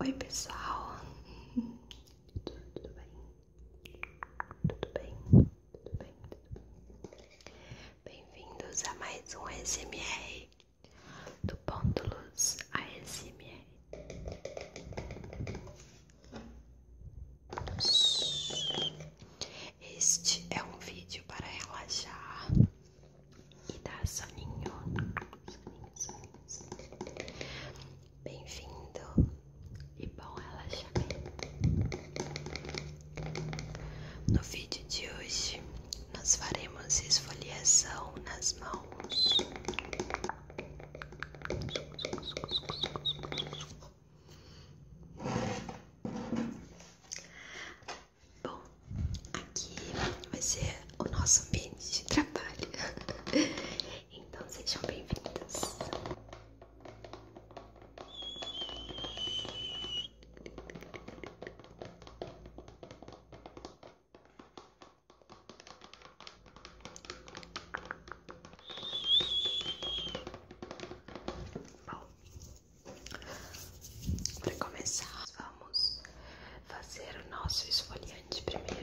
Oi, pessoal, tudo bem? Tudo bem? Tudo bem? tudo Bem-vindos bem a mais um SMR do Ponto Luz ASMR. Este é um vídeo para relaxar e dar soninho. soninho, Bem-vindo e bom relaxamento. No vídeo de hoje, nós faremos esfoliação nas mãos. Bom, aqui vai ser o nosso ambiente de trabalho. Então sejam bem-vindos. Bom, para começar, vamos fazer o nosso esfoliante primeiro.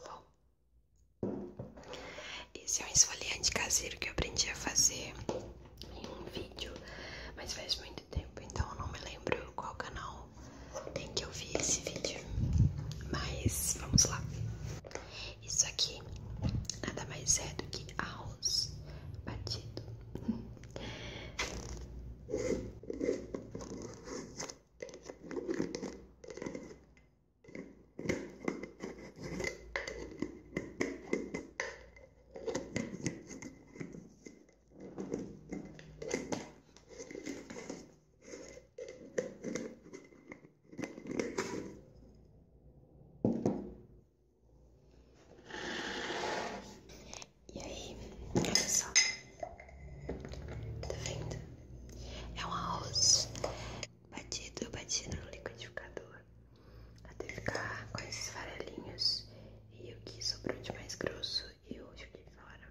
Bom, esse é um esfoliante caseiro que eu aprendi a fazer em um vídeo, mas faz muito tempo, então não me lembro qual canal em que eu vi esse vídeo. Mas vamos lá. Isso aqui nada mais é do que arroz batido. E aí, olha só. Tá vendo? É um arroz batido, batido no liquidificador até ficar com esses farelinhos. E o que sobrou de mais grosso eu joguei fora.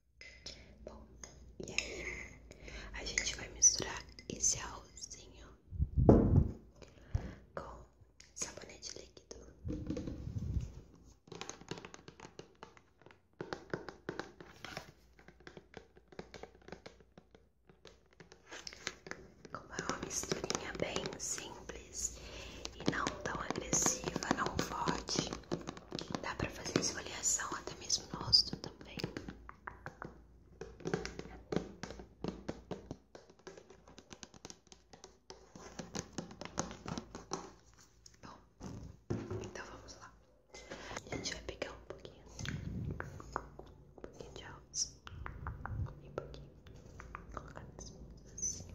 Bom, e aí a gente vai misturar esse arrozinho com sabonete líquido. Como é uma misturinha bem simples e não tão agressiva, não forte. Dá pra fazer esfoliação até mesmo nosso também. Bom, então vamos lá. A gente vai pegar um pouquinho, um pouquinho de alça e um pouquinho, colocar nas mãos assim.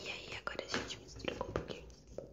E aí, agora a gente mistura com um pouquinho de sabão.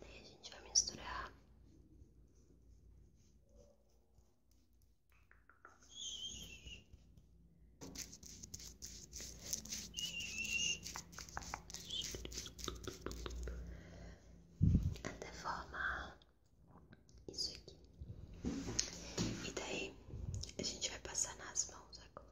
Daí a gente vai misturar. Até forma isso aqui. E daí a gente vai passar nas mãos agora.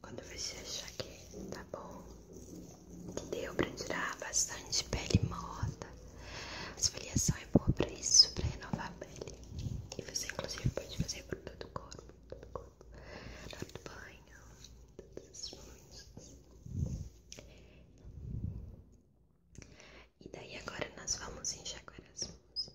Quando você achar que tá bom, que deu pra tirar bastante pele morta, as esfoliação é boa pra isso, pra renovar a pele. E você, inclusive, pode fazer por todo o corpo, todo o corpo, na hora do banho, todas as coisas. E daí agora nós vamos enxaguar as mãozinhas.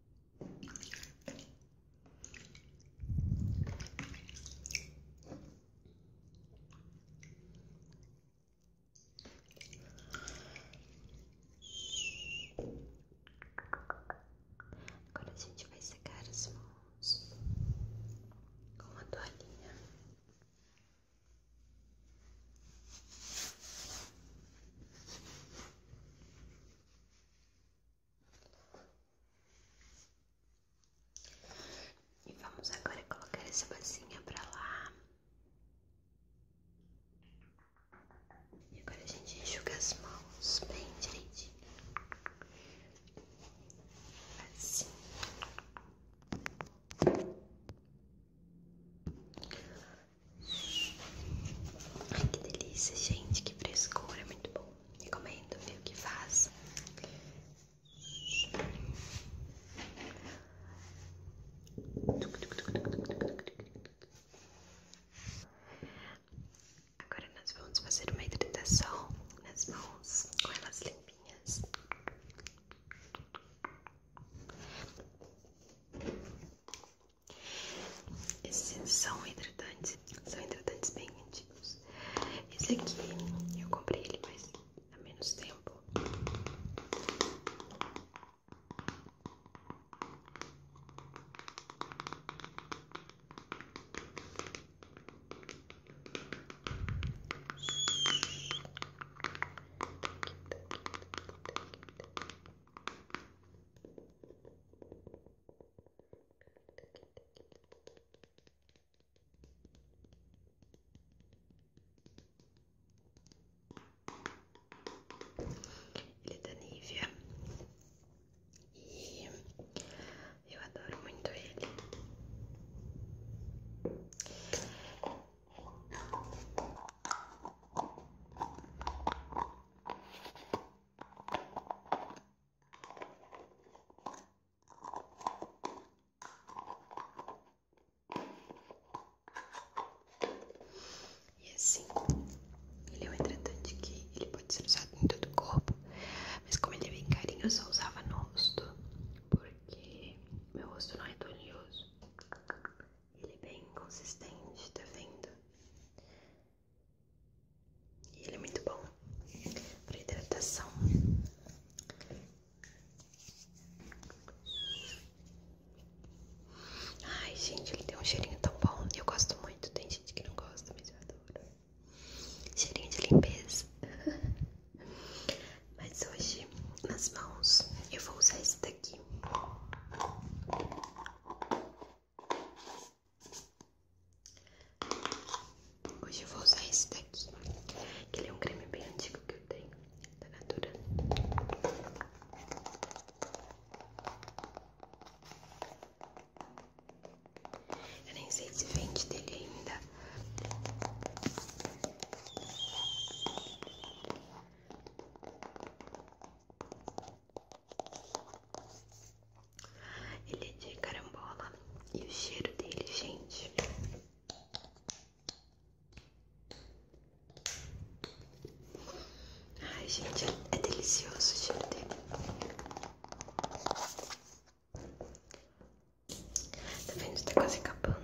Agora a gente vai secar as mãos com uma toalhinha. E vamos agora colocar essa massinha pra lá. E agora a gente enxuga as mãos bem direitinho. Assim. Ai, que delícia, gente, que frescura, é muito bom. Recomendo, viu, que faz. Agora nós vamos fazer uma hidratação nas mãos com elas limpinhas. Esses são hidratantes, são hidratantes bem antigos. Esse aqui eu comprei ele mas há menos tempo. Ele é da Nivea e eu adoro muito ele. E assim, ele é um hidratante que ele pode ser usado em todo o corpo, mas como ele é bem carinho, eu só usava no rosto, porque meu rosto não é tonioso. Ele é bem consistente, tá vendo? E ele é muito bom para hidratação. Ai, gente, ele tem um cheirinho tão bom. Eu gosto muito. Tem gente que não gosta, mas eu adoro. Cheirinho de limpeza. mas hoje, nas mãos, eu vou usar esse daqui. Hoje eu vou usar esse daqui, ele é um creme bem antigo que eu tenho, da tá Natura. Eu nem sei se vende dele ainda. Ele é de carambola e o cheiro dele, gente. Ai, gente, é delicioso o cheiro dele. Tá vendo? Tá quase acabando.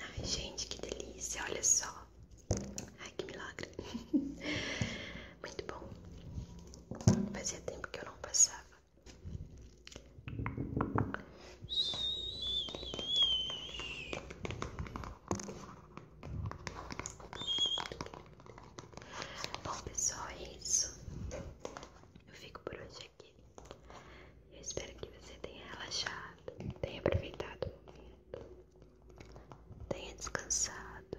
Ai, gente, que delícia! Olha só. Ai, que milagre. Muito bom. Fazia tempo que eu não passava. Bom, pessoal, é isso. Eu fico por hoje aqui. Eu espero que você tenha relaxado, tenha aproveitado o momento, tenha descansado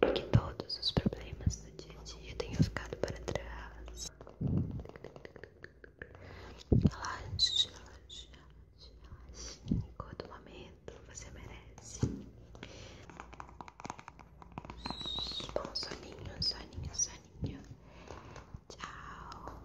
e que todos os problemas do dia a dia tenham ficado para trás. Relaxa, relaxa, relaxa. Enquanto o momento você merece. Bom soninho, soninho, soninho. Tchau.